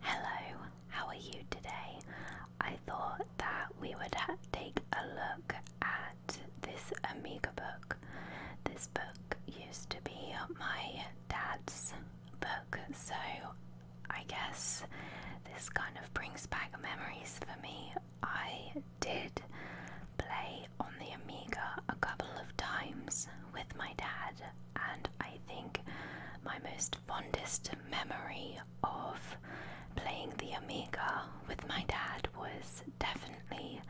Hello, how are you today? I thought that we would take a look at this Amiga book. This book used to be my dad's book, so I guess this kind of brings back memories for me I did play on the Amiga a couple of times with my dad, and I think my most fondest memory of playing the Amiga with my dad was definitely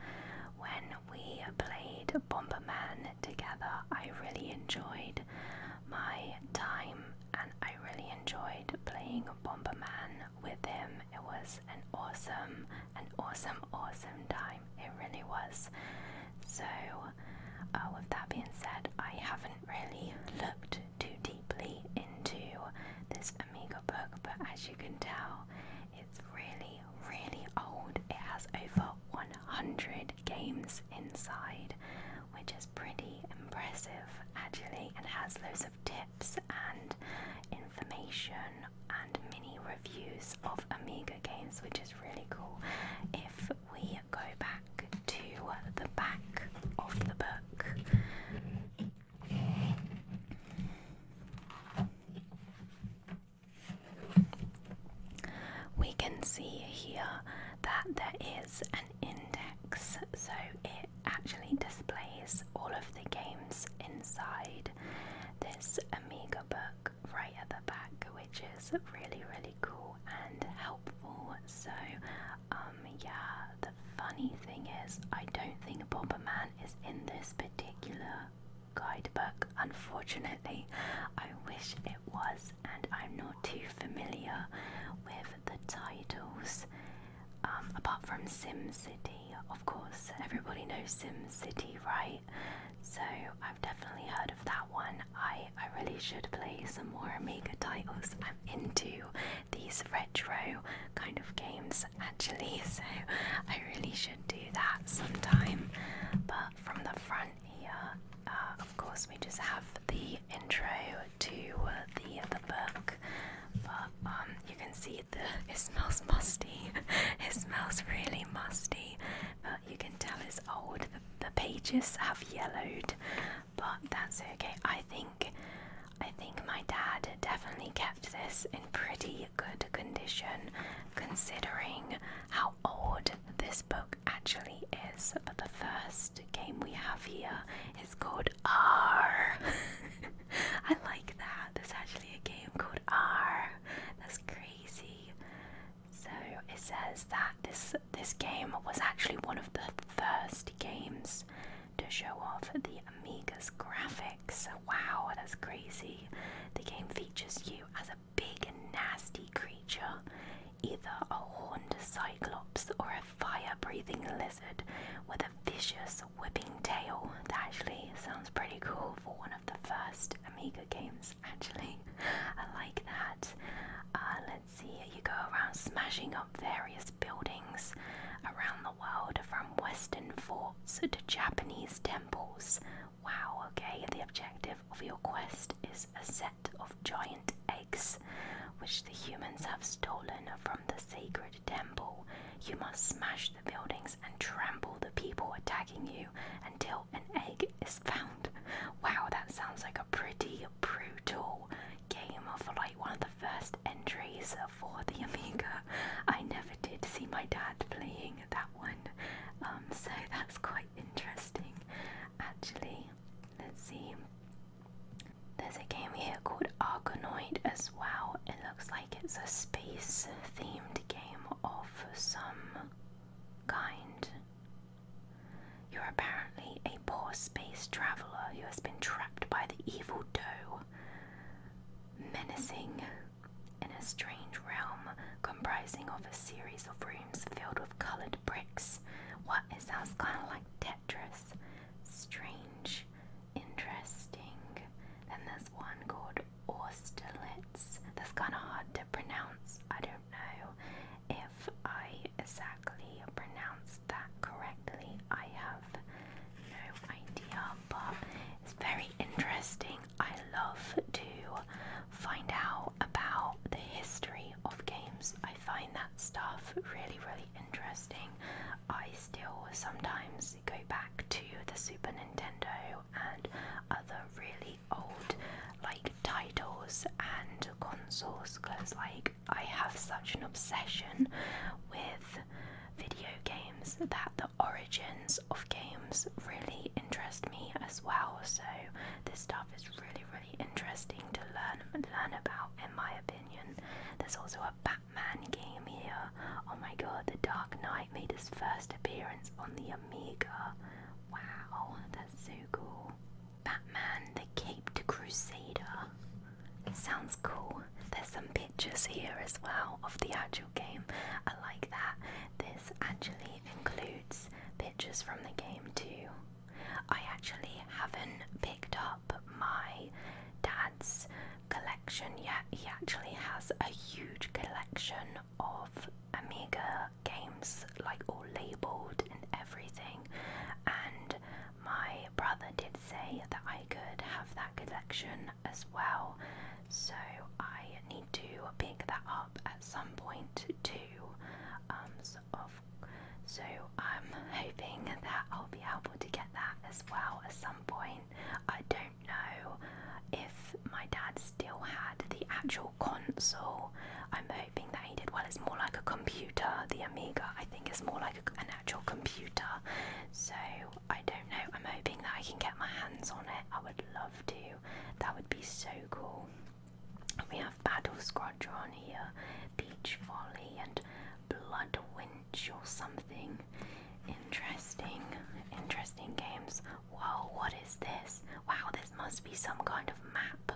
when we played Bomberman together. I really enjoyed my time and I really enjoyed playing Bomberman with him. It was an awesome, an awesome, awesome time. It really was. So, uh, with that being said, I haven't really looked too deeply into this Amiga book, but as you can tell, it's really, really old. It has over 100 games inside, which is pretty impressive actually, and has loads of tips and information and mini reviews of Amiga games, which is really cool. If we go back to the back of the book, we can see here that there is an index, so it actually displays all of the games inside this Amiga book right at the back, which is really, really cool and helpful. So, um, yeah, the funny thing is, I don't think Bomber Man is in this particular guidebook, unfortunately. I wish it was, and I'm not too familiar with the titles. Um, apart from Sim City, of course. Everybody knows Sim City, right? So I've definitely heard of that one. I I really should play some more Amiga titles. I'm into these retro kind of games actually, so I really should do that sometime. But from the front here, uh, of course, we just have the intro to the the book. Um, you can see the it smells musty. it smells really musty, but you can tell it's old. The, pages have yellowed, but that's okay. I think I think my dad definitely kept this in pretty good condition, considering how old this book actually is. But the first game we have here is called R. I like that. There's actually a game called R. That's crazy. So it says that this this game was actually one of the first games to show off the Amiga's graphics. Wow, that's crazy. The game features you as a big and nasty creature, either a horned cyclops or a fire breathing lizard with a vicious Whipping Tail. That actually sounds pretty cool for one of the first Amiga games, actually. I like that. Uh, let's see, you go around smashing up various buildings around the world from Western forts to Japanese temples. Wow, okay, the objective of your quest is a set of giant eggs which the humans have stolen from the sacred temple. You must smash the buildings and trample the people attacking you until an egg is found. Wow, that sounds like a pretty brutal game of like one of the first entries for the Amiga. I never did see my dad playing that one, um, so that's quite interesting actually. Let's see. There's a game here called Argonoid as well, it looks like it's a space themed game of some kind. You're apparently a poor space traveller who has been trapped by the evil doe, menacing in a strange realm comprising of a series of rooms filled with coloured bricks. What it sounds kind of like Tetris. Strange interesting Then there's one called Austerlitz. That's kind of hard to pronounce. I don't know if I exactly pronounce that correctly. I have no idea, but it's very interesting. I love to find out about the history of games. I find that stuff really, really interesting. I still sometimes go back to the Super Nintendo and other really old like titles and consoles because like I have such an obsession with video games that the origins of games really interest me as well so this stuff is really really interesting to learn learn about in my opinion. There's also a Man, game here. Oh my god, the Dark Knight made his first appearance on the Amiga. Wow, that's so cool. Batman the Caped Crusader. sounds cool. There's some pictures here as well of the actual game. I like that. This actually includes pictures from the game too. I actually haven't picked up my dad's collection. Yeah, he actually has a huge collection of Amiga games, like all labeled and everything. And my brother did say that I could have that collection as well, so I need to pick that up at some point too. Um, so, so I'm hoping that I'll be able to get that as well at some point. I don't do if my dad still had the actual console. I'm hoping that he did. Well, it's more like a computer. The Amiga, I think, is more like a, an actual computer. So I don't know. I'm hoping that I can get my hands on it. I would love to. That would be so cool. We have Battle Squadron here, Beach Volley, and Blood Wind or something. Interesting, interesting games. Whoa, what is this? Wow, this must be some kind of map.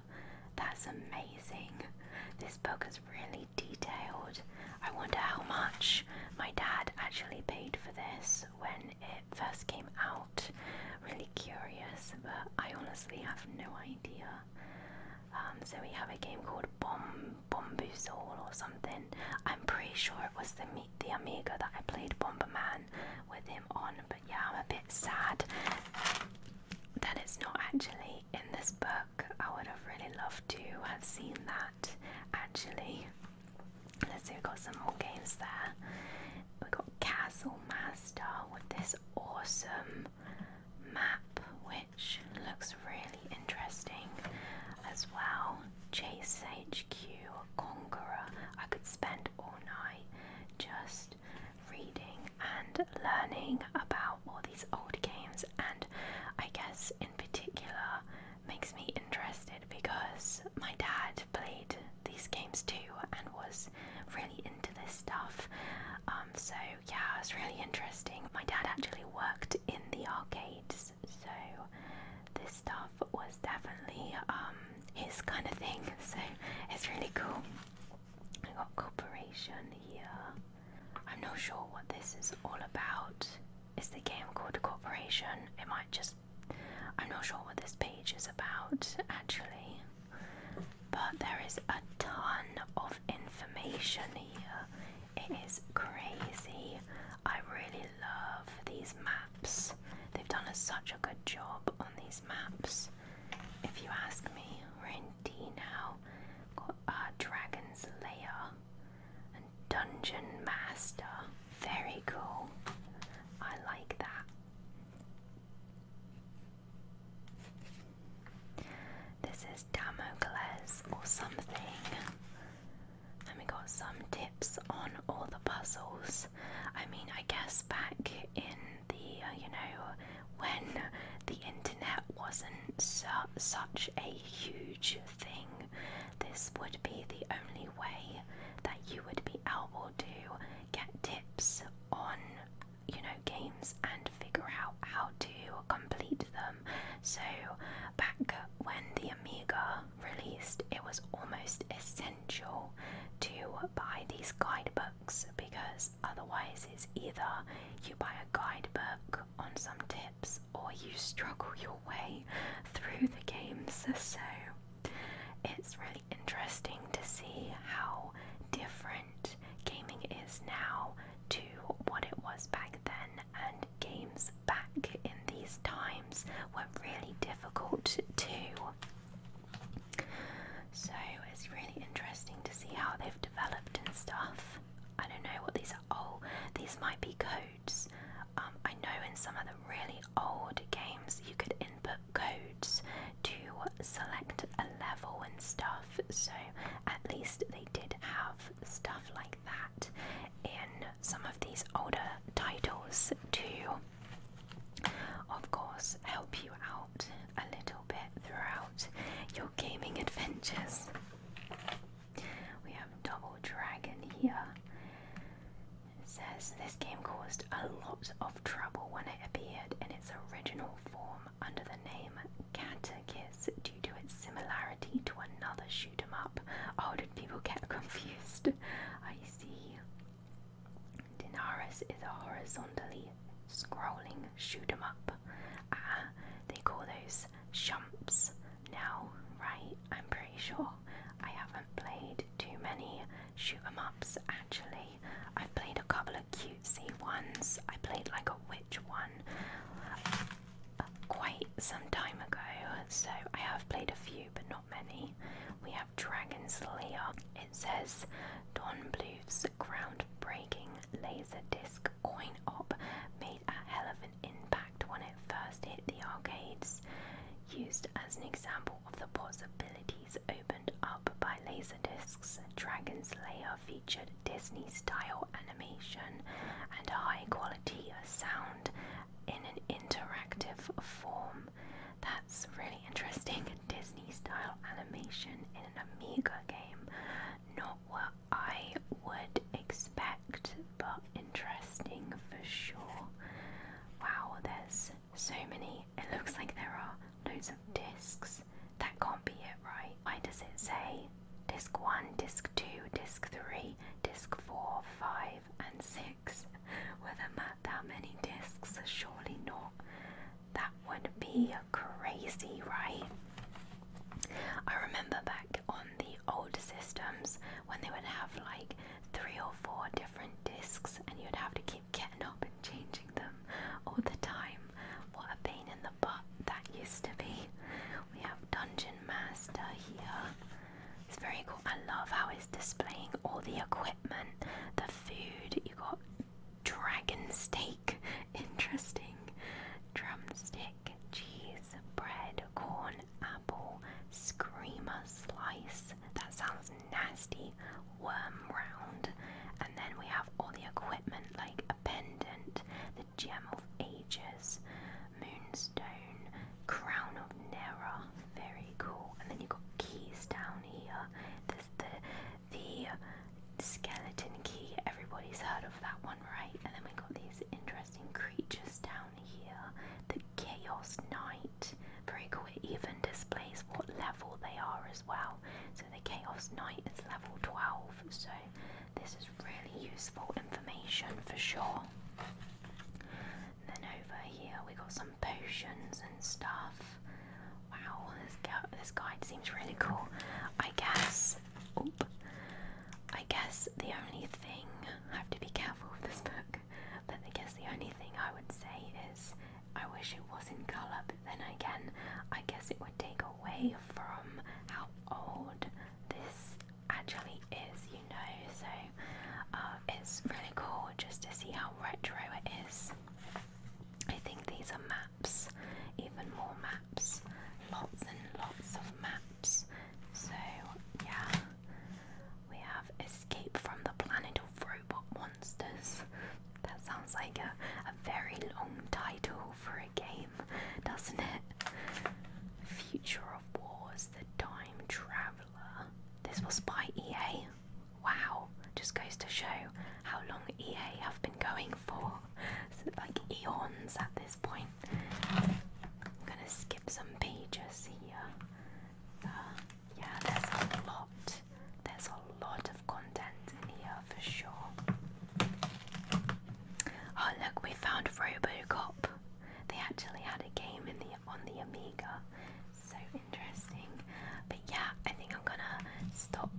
That's amazing. This book is really detailed. I wonder how much my dad actually paid for this when it first came out. Really curious, but I honestly have no idea. Um, so we have a game called Bomb Bombusol or something. I'm pretty sure it was the the Amiga that I played Bomberman with him on. But yeah, I'm a bit sad that it's not actually in this book. I would have really loved to have seen that actually. Let's see, we've got some more games there. We've got Castle Master with this awesome map, which looks really interesting as well. Chase HQ, Conqueror. I could spend all night just reading and learning about all these old games, and I guess in particular makes me interested because my dad played these games too and was really into this stuff. Um, so yeah, it's really interesting. My dad actually worked in the arcades so this stuff was definitely um, his kind of thing, so it's really cool. I got Corporation here. I'm not sure what this is all about. Is the game called Corporation? It might just. I'm not sure what this page is about actually, but there is a ton of information here. It is crazy. I really love these maps. They've done a, such a good job on these maps. If you ask me, we're in D now. Got our Dragon's Lair and Dungeon Master. Very cool. I like that. This is Damocles or something. And we got some tips on all the puzzles. I mean, I guess back in the, uh, you know, when the internet wasn't su such a huge thing, this would be the only way that you would be able to get tips on, you know, games and figure out how to complete them. So, back when the Amiga released, it was almost essential to buy these guidebooks because otherwise, it's either you buy a guidebook on some tips or you struggle your way through the games. So, it's really interesting to see how different gaming is now to what it was back then and games back in these times were really difficult too. So it's really interesting to see how they've developed and stuff. I don't know what these are. Oh, these might be codes. Um, I know in some of the really old games you could input codes to select a level and stuff, so at least they did have stuff like that in some of these older titles to, of course, help you out a little bit throughout your gaming adventures. We have Double Dragon here. says this game caused a lot of trouble when it appeared in its original form under the name Katakiss due to its similarity to another shoot 'em up. Oh, did people get confused? I see. Dinaris is a horizontally scrolling shoot 'em up. Ah, they call those shumps now, right? I'm pretty sure. I haven't played too many shoot 'em ups actually. I've played a couple of cutesy ones. I played like a witch one quite some time ago, so I have played a few but not many. We have Dragon's Lair. It says Don Bluth's groundbreaking laser disc coin op made a hell of an impact when it first hit the arcades, used as an example of the possibilities opened up by laser discs. Dragon's Lair featured Disney style animation and high quality sound in an interactive form. That's really interesting. Disney style animation in an Amiga game. Not what I would expect, but interesting for sure. Wow, there's so many. It looks like there are loads of discs. That can't be it, right? Why does it say disc 1, disc 2, disc 3, disc 4, 5, and 6 with a that many discs, surely not. That would be crazy, right? I remember back on the old systems when they would have like three or four different discs and you'd have to keep getting up and changing them all the time. What a pain in the butt that used to be. We have Dungeon Master here. It's very cool. I love how it's displaying all the equipment, the food. You got dragon steak, interesting. Drumstick, cheese, bread, corn, apple, screamer slice. That sounds nasty. Worm round, and then we have all the equipment like a pendant. Gem of Ages, Moonstone, Crown of Nera, very cool. And then you've got keys down here. the the skeleton key. Everybody's heard of that one, right? And then we have got these interesting creatures down here. The Chaos Knight, very cool. It even displays what level they are as well. So the Chaos Knight is level 12. So this is really useful information for sure. then over here we got some potions and stuff. Wow, this, guide seems really cool. I guess. I guess the only thing I have to be careful with this book, but I guess the only thing I would say is I wish it was in colour, but then again, I guess it would take away from how old this actually is, you know, so uh, it's really cool just to see how retro it is. I think these are maps, even more maps, lots and lots of maps. So, yeah, we have Escape from the Planet of Robot Monsters. That sounds like a, a very long title for a game, doesn't it? Future of War the Time Traveller. This was by EA. Wow, just goes to show how long EA have been going for. So, like eons at this point. I'm gonna skip some pages here. Uh, yeah, there's a lot. There's a lot of content in here for sure. Oh, look, we found Robocop. They actually had a game in the on the Amiga. So interesting. But yeah, I think I'm gonna stop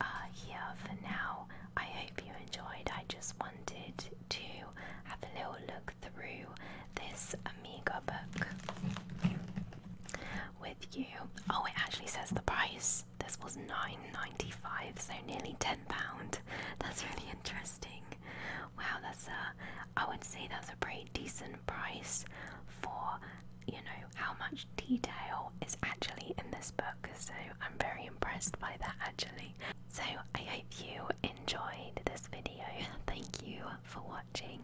uh, here for now. I hope you enjoyed. I just wanted to have a little look through this Amiga book with you. Oh, it actually says the price. This was 9.95, so nearly 10 pound. That's really interesting. Wow, that's a. I would say that's a pretty decent price for you know how much detail is actually in this book. So I'm very impressed by that actually. So I hope you enjoyed this video. Thank you for watching.